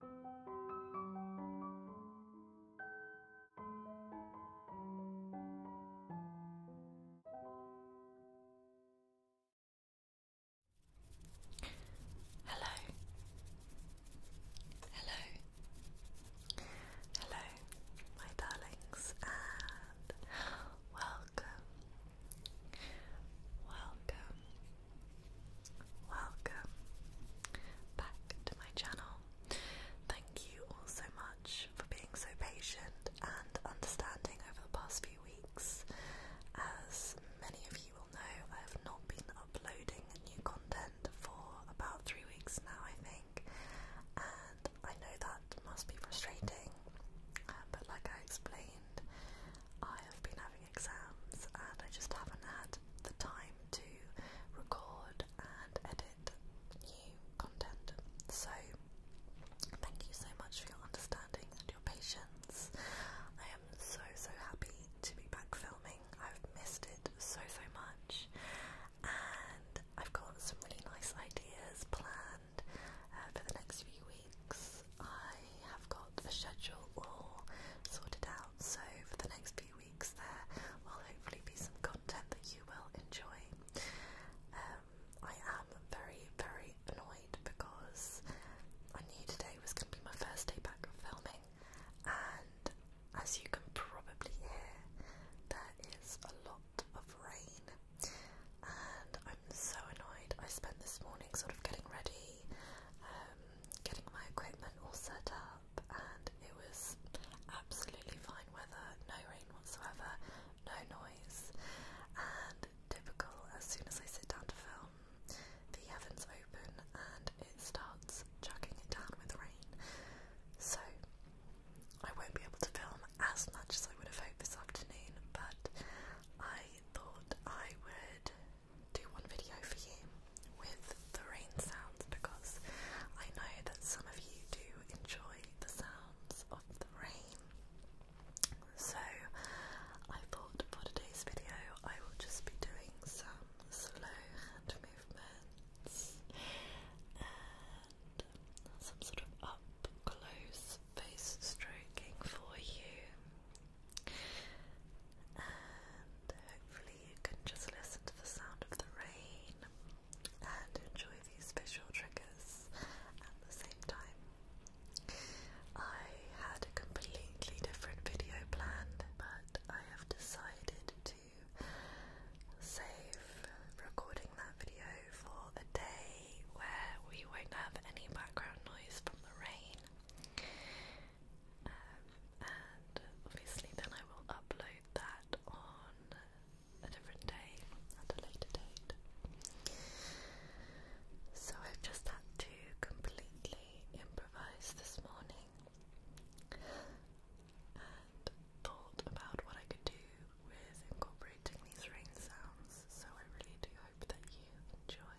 Hello. Hello. Hello, my darlings, and welcome. Welcome Welcome back to my channel. Thank you all so much for being so patient and understanding over the past few weeks. As many of you will know, I have not been uploading new content for about three weeks now, I think, and I know that must be frustrating. Uh, but like I explained, I have been having exams and I just haven't had the time to record and edit new content. So thank you so much for your understanding and your patience. I am so so happy to be back filming. I've missed it so so much and I've got some really nice ideas planned uh, for the next few weeks. I have got the schedule all sorted out so for the next few weeks there will hopefully be some content that you will enjoy. Um, I am very, very annoyed because I knew today was going to be my first day back filming, and as you can probably hear, there is a lot of rain, and I'm so annoyed. I spent this morning sort of getting ready um, getting my equipment all set up, and it was absolutely fine weather, no rain whatsoever, no noise, and typical, as soon as I sit down to film, the heavens open and it starts chucking it down with rain. So, I won't be able to film as much as I would have hoped this afternoon, but I thought I would do one video for you with the rain sounds because I know that some of you do enjoy the sounds of the rain. So I thought for today's video I will just be doing some slow hand movements and some sort of up close face stroking for you. And hopefully you can just listen to the sound of the rain and enjoy these visual triggers at the same time. I had a completely different video planned, but I have decided to save recording that video for a day where we won't have any background noise from the rain. Um, and obviously, then I will upload that on a different day at a later date. So, I've just had to completely improvise this morning and thought about what I could do with incorporating these rain sounds. So, I really do hope that you enjoy.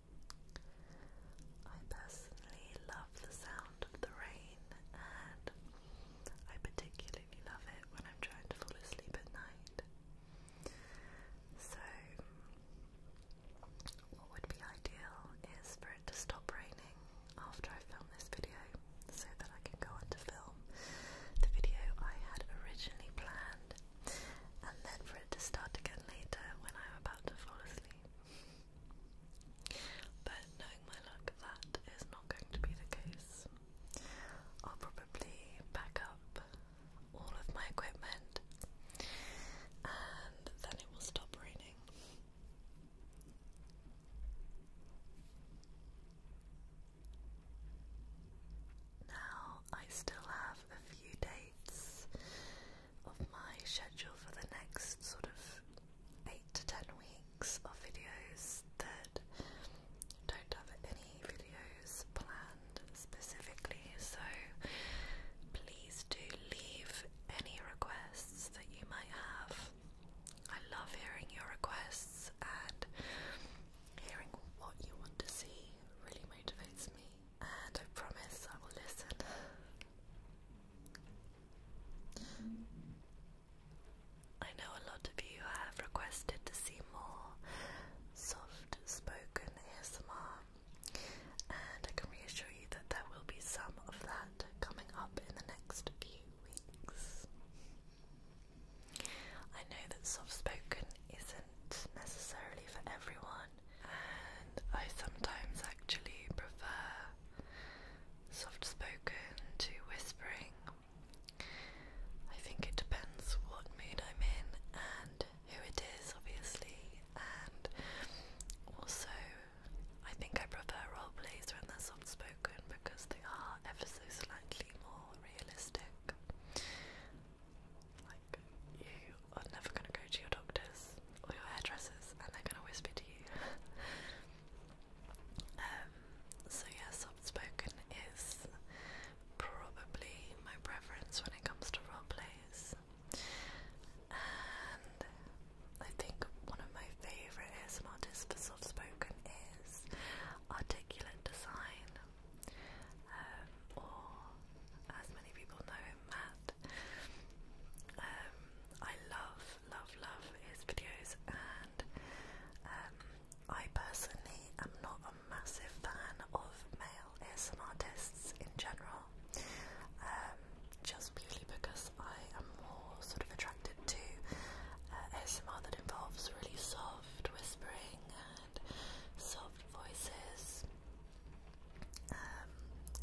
I personally love the sound of the rain, and I particularly love it when I'm trying to fall asleep at night. So, what would be ideal is for it to stop raining after I film this video so that I can go on to film the video I had originally planned and then for it to start again later when I'm about to fall asleep. But knowing my luck, that is not going to be the case. I'll probably pack up all of my equipment and then it will stop raining. Now I still have a few dates of my schedule for the next sort of 8 to 10 weeks of videos that don't have any videos planned specifically, so please do leave any requests that you might have. I love hearing your requests and hearing what you want to see really motivates me and I promise I will listen. I know a lot of you have requested to see more soft spoken ASMR, and I can reassure you that there will be some of that coming up in the next few weeks. I know that soft spoken isn't necessarily for everyone and I sometimes actually prefer soft spoken to whispering. I think it depends what mood I'm in and who it is, obviously, and also I think I prefer role plays when they're soft spoken because they are ever so slightly more realistic. Like, you are never going to go to your doctors or your hairdressers and they're going to whisper to you. um, so, yeah, soft spoken is probably my preference when it comes to role plays. And I think one of my favourite ASM artists for soft spoken is Articulate Design, um, or as many people know him, um, I love, love, love his videos, and um, I personally am not a massive fan of male ASMR artists in general. Um, just purely because I am more sort of attracted to uh, ASMR that involves really soft whispering and soft voices. Um,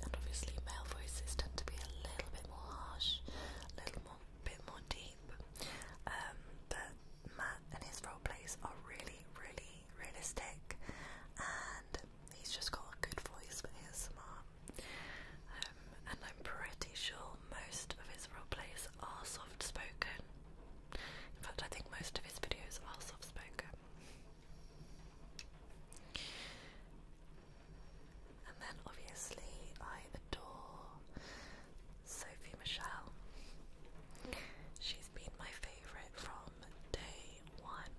and obviously, male voices tend to be a little bit more harsh, a little more, bit more deep. Um, but Matt and his role plays are really, really realistic, and he's just got a good voice for ASMR. Um, and I'm pretty sure most of his role plays are soft spoken. In fact, I think most of his videos are soft spoken. And then obviously I adore Sophie Michelle. She's been my favourite from day one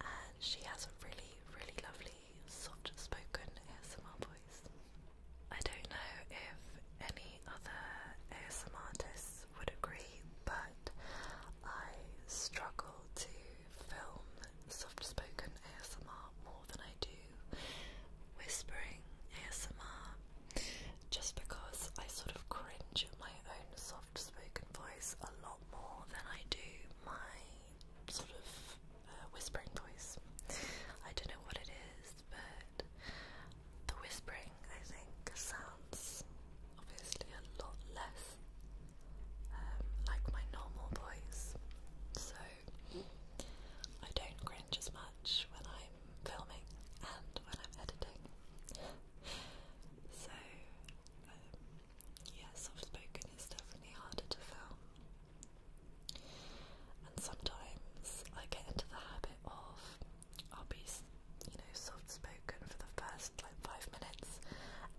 and she has a really, really lovely soft spoken ASMR voice. I don't know if any other ASMR artists would agree, but I struggle to film soft spoken ASMR more than I do whispering ASMR just because I sort of cringe at my own soft spoken voice a lot more than I do my sort of uh, whispering voice. I don't know what it is, but the whispering I think sounds obviously a lot less um, like my normal voice, so I don't cringe as much when I'm filming and when I'm editing. so, um, soft spoken is definitely harder to film. And sometimes I get into the habit of I'll be, you know, soft spoken for the first like five minutes,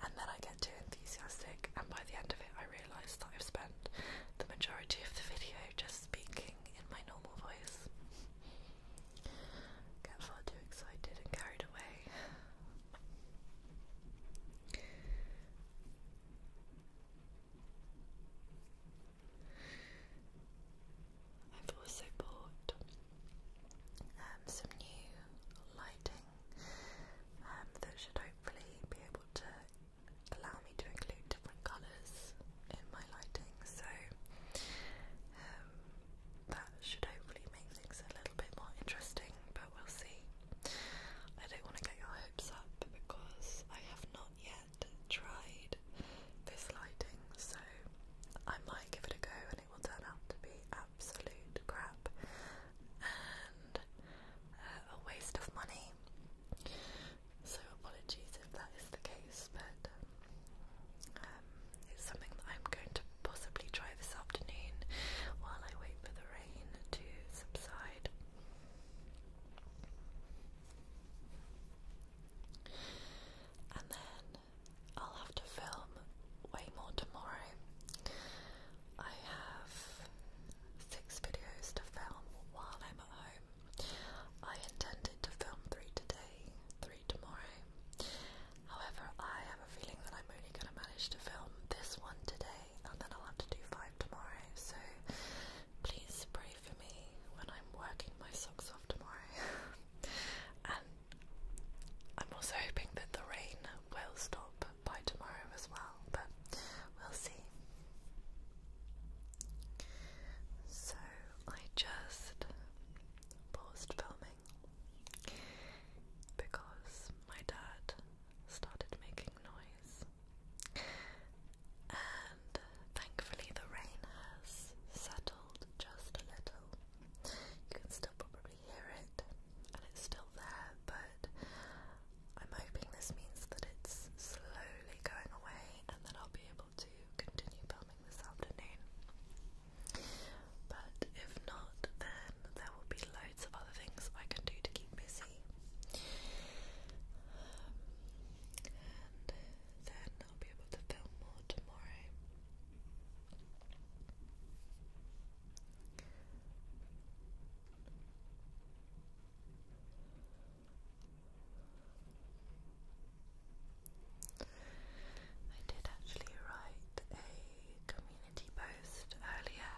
and then I get too enthusiastic, and by the end of it, I realise that I've spent the majority of the video just speaking in my normal voice. Get far too excited and carried away. I've also bought um, some new lighting um, that should hopefully be able to allow me to include different colours in my lighting. So um, that should hopefully make things a little bit more interesting, but we'll see. I don't want to get your hopes up because I have not yet tried this lighting, so I might give it a go and it will turn out to be absolute crap and uh, a waste of money. So, apologies if that is the case, but um, it's something that I'm going to possibly try this afternoon while I wait for the rain to subside. And then I'll have to film way more tomorrow. I have six videos to film while I'm at home. I intended to film three today, three tomorrow. However, I have a feeling that I'm only going to manage to film this one today and then I'll have to do five tomorrow. So please pray for me when I'm working my socks off tomorrow. and I'm also hoping that the rain will stop up by tomorrow as well, but we'll see. So I just paused filming because my dad started making noise. And thankfully, the rain has settled just a little. You probably hear it and it's still there, but I'm hoping this means that it's slowly going away and that I'll be able to continue filming this afternoon. But if not, then there will be loads of other things I can do to keep busy. Um, and then I'll be able to film more tomorrow. I did actually write a community post earlier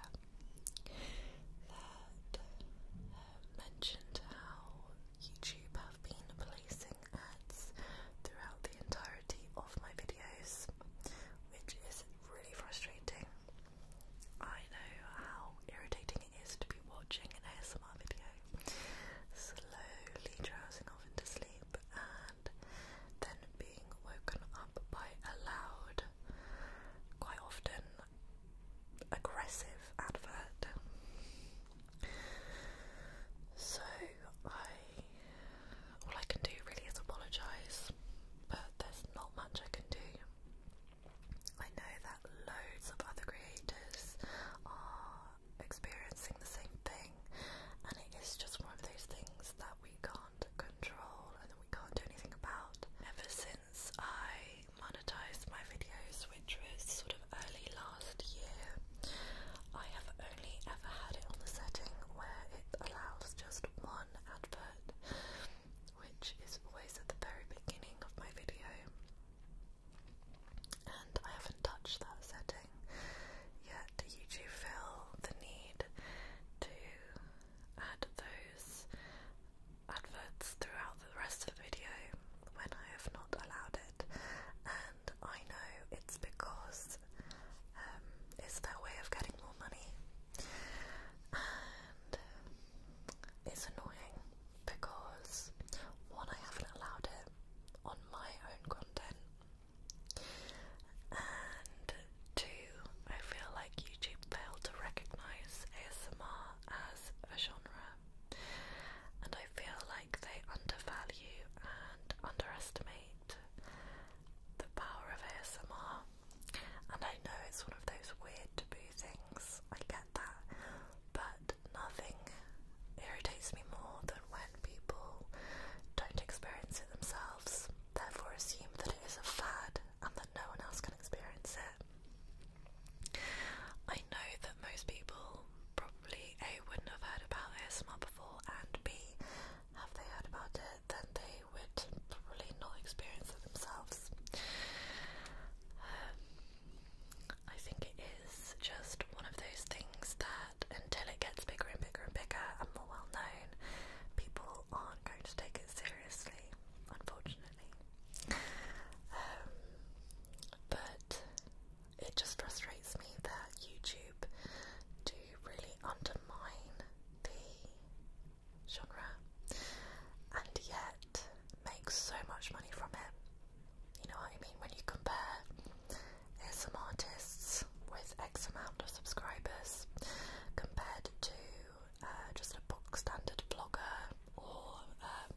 that um, mentioned how YouTube have been placing ads throughout the entirety of my videos, which is really frustrating. I know how irritating it is to be watching an ASMR video, slowly drowsing off into sleep, and then being woken up by a loud, quite often aggressive advert. So I all I can do really is apologise, but there's not much I can do. I know that loads of other creators are experiencing the same thing, and it is just one of those things that we can't control and that we can't do anything about. Ever since I monetized my videos, which was sort of early last year, I have only ever had it on the setting where it allows just one advert which is always at the very beginning of my video, and I haven't touched that setting yet. Do You do feel the need to add those adverts throughout the rest of the video when I have not allowed it, and I know it's because um, it's their way of getting more money and um, it's annoying because one, I haven't allowed it on my own content, and two, I feel like YouTube failed to recognise ASMR as a genre, and I feel like they undervalue and underestimate the power of ASMR are. And I know it's one of those weird taboo things, I get that, but nothing irritates me more than when people don't experience it themselves, therefore assume that it is a fad and that no one else can experience it. I know that most people probably A wouldn't have heard about ASMR before and B have they heard about it then they they would probably not experience it themselves. Um, I think it is just one of those things that until it gets bigger and bigger and bigger and more well known, people aren't going to take it seriously, unfortunately. Um, but it just frustrates me that YouTube do really undermine the genre and yet make so much money from it. You know what I mean? When you compare some artists with X amount of subscribers compared to uh, just a book standard blogger or um,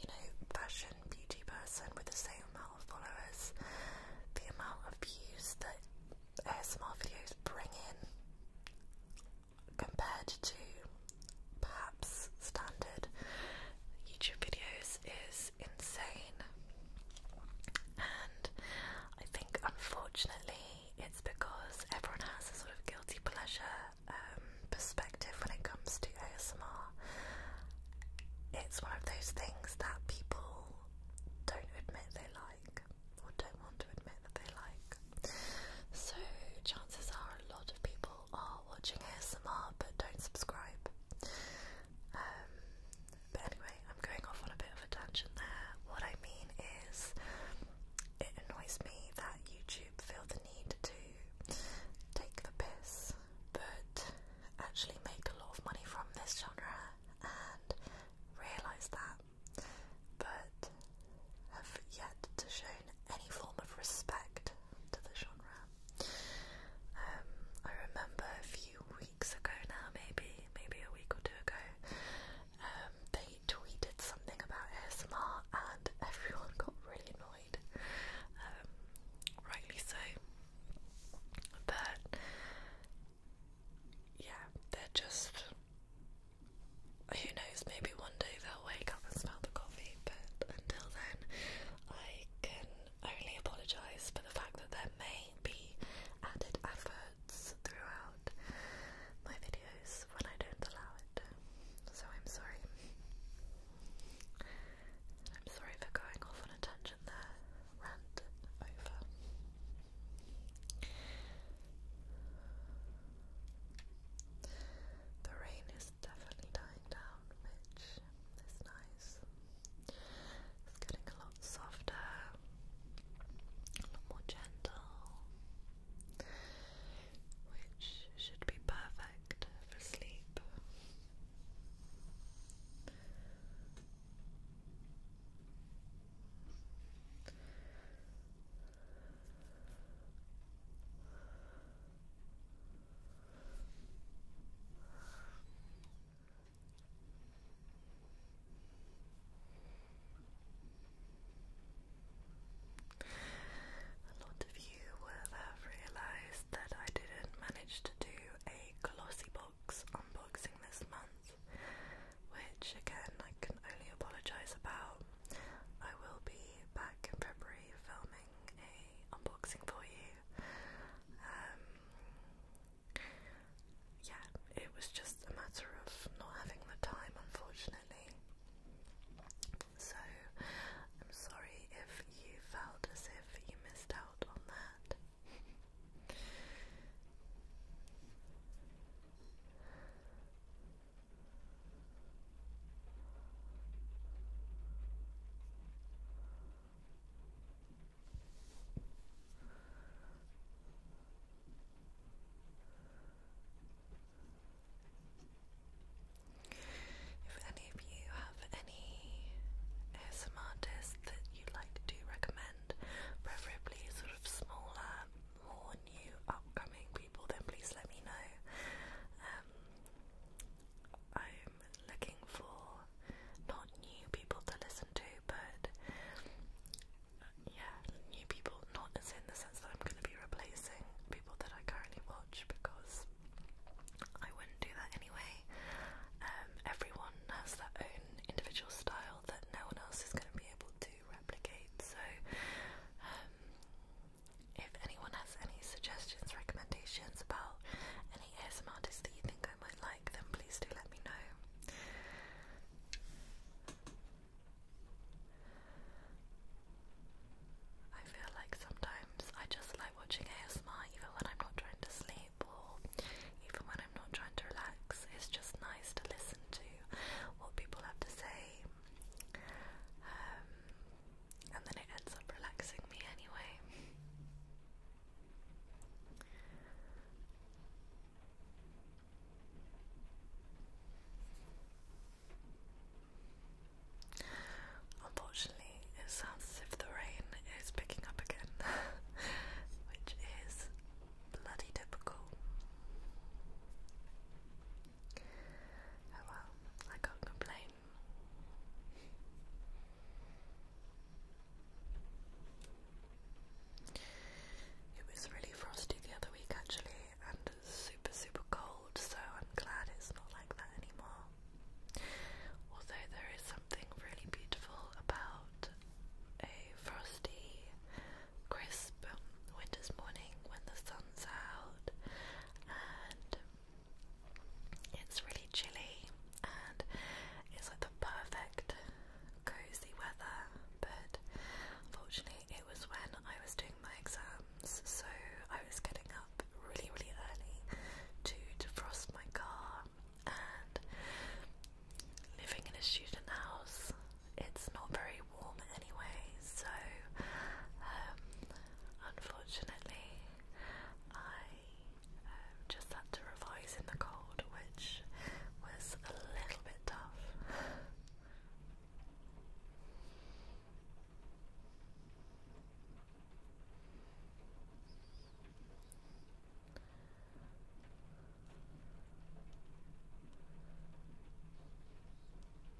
you know fashion beauty person with the same amount of followers, the amount of views that ASMR videos bring in compared to perhaps standard YouTube videos is insane. And I think unfortunately it's because everyone has a sort of guilty pleasure um, perspective when it comes to ASMR. It's one of those things that people don't admit they or don't want to admit that they like. So, chances are a lot of people are watching ASMR but don't subscribe. Um, but anyway, I'm going off on a bit of a tangent there. What I mean is, it annoys me that YouTube feel the need to take the piss but actually make a lot of money from this genre and realise that but have yet to shown any form of respect to the genre. Um, I remember a few weeks ago now, maybe, maybe a week or two ago, um, they tweeted something about ASMR and everyone got really annoyed. Um, rightly so. But yeah, they're just who knows, maybe one day they'll wake up and smell the coffee, but until then, I can only apologise for the fact that there may be added efforts throughout my videos when I don't allow it. So I'm sorry. I'm sorry for going off on a tangent there. Rant over. The rain is definitely dying down, which is nice. It's getting a lot softer, a lot more gentle, which should be perfect for sleep. A lot of you will have realised that I didn't manage to do a glossy box unboxing this month, which again I can only apologise about. I will be back in February filming a unboxing for you. Um, yeah, it was just a matter of not having the time, unfortunately. So I'm sorry if you felt as if you missed out on that. If any of you have any ASMR artists that you'd like to recommend, preferably sort of smaller more new upcoming people, then please let me know. Um, I'm looking for not new people to listen to, but yeah, new people, not as in the sense that I'm going to be replacing people that I currently watch because I wouldn't do that anyway. Um, everyone has their own individual style that no one else is going to be able to replicate, so um, if anyone has any suggestions, recommendations about any ASM artists that you think I might like, then please do let me know. I feel like sometimes I just like watching ASMR even when I'm not trying to sleep or even when I'm not trying to relax. It's just nice to listen to what people have to say um, and then it ends up relaxing me anyway. Unfortunately, it sounds as if the rain is picking up again, which is bloody typical. Oh well, I can't complain. It was really frosty the other week actually, and super super cold, so I'm glad it's not like that anymore. Although there is something really beautiful about a frosty crisp winter's morning when the sun's out and it's really chilly and it's like the perfect cozy weather but fortunately, it was when I was doing my exams so I was getting up really really early to defrost my car and living in a student house it's not very warm anyway, so um, unfortunately, I um, just had to revise in the cold, which was a little bit tough.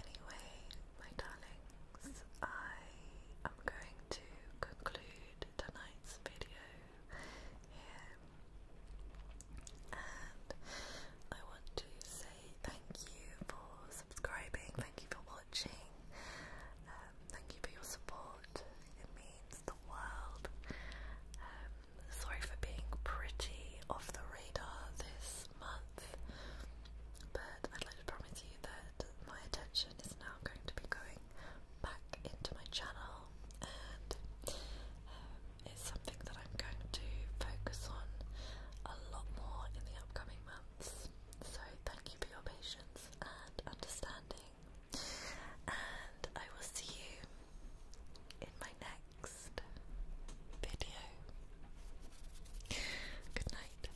Anyway, my darlings, I am going to conclude tonight's video here, and I want to say thank you for subscribing, thank you for watching watching. Um, thank you for your support. It means the world. Um, sorry for being pretty off the radar this month, but I'd like to promise you that my attention is now going to be going back into my channel, and um, it's something that I'm going to focus on a lot more in the upcoming months. So, thank you for your patience and understanding. And I will see you in my next video. Good night.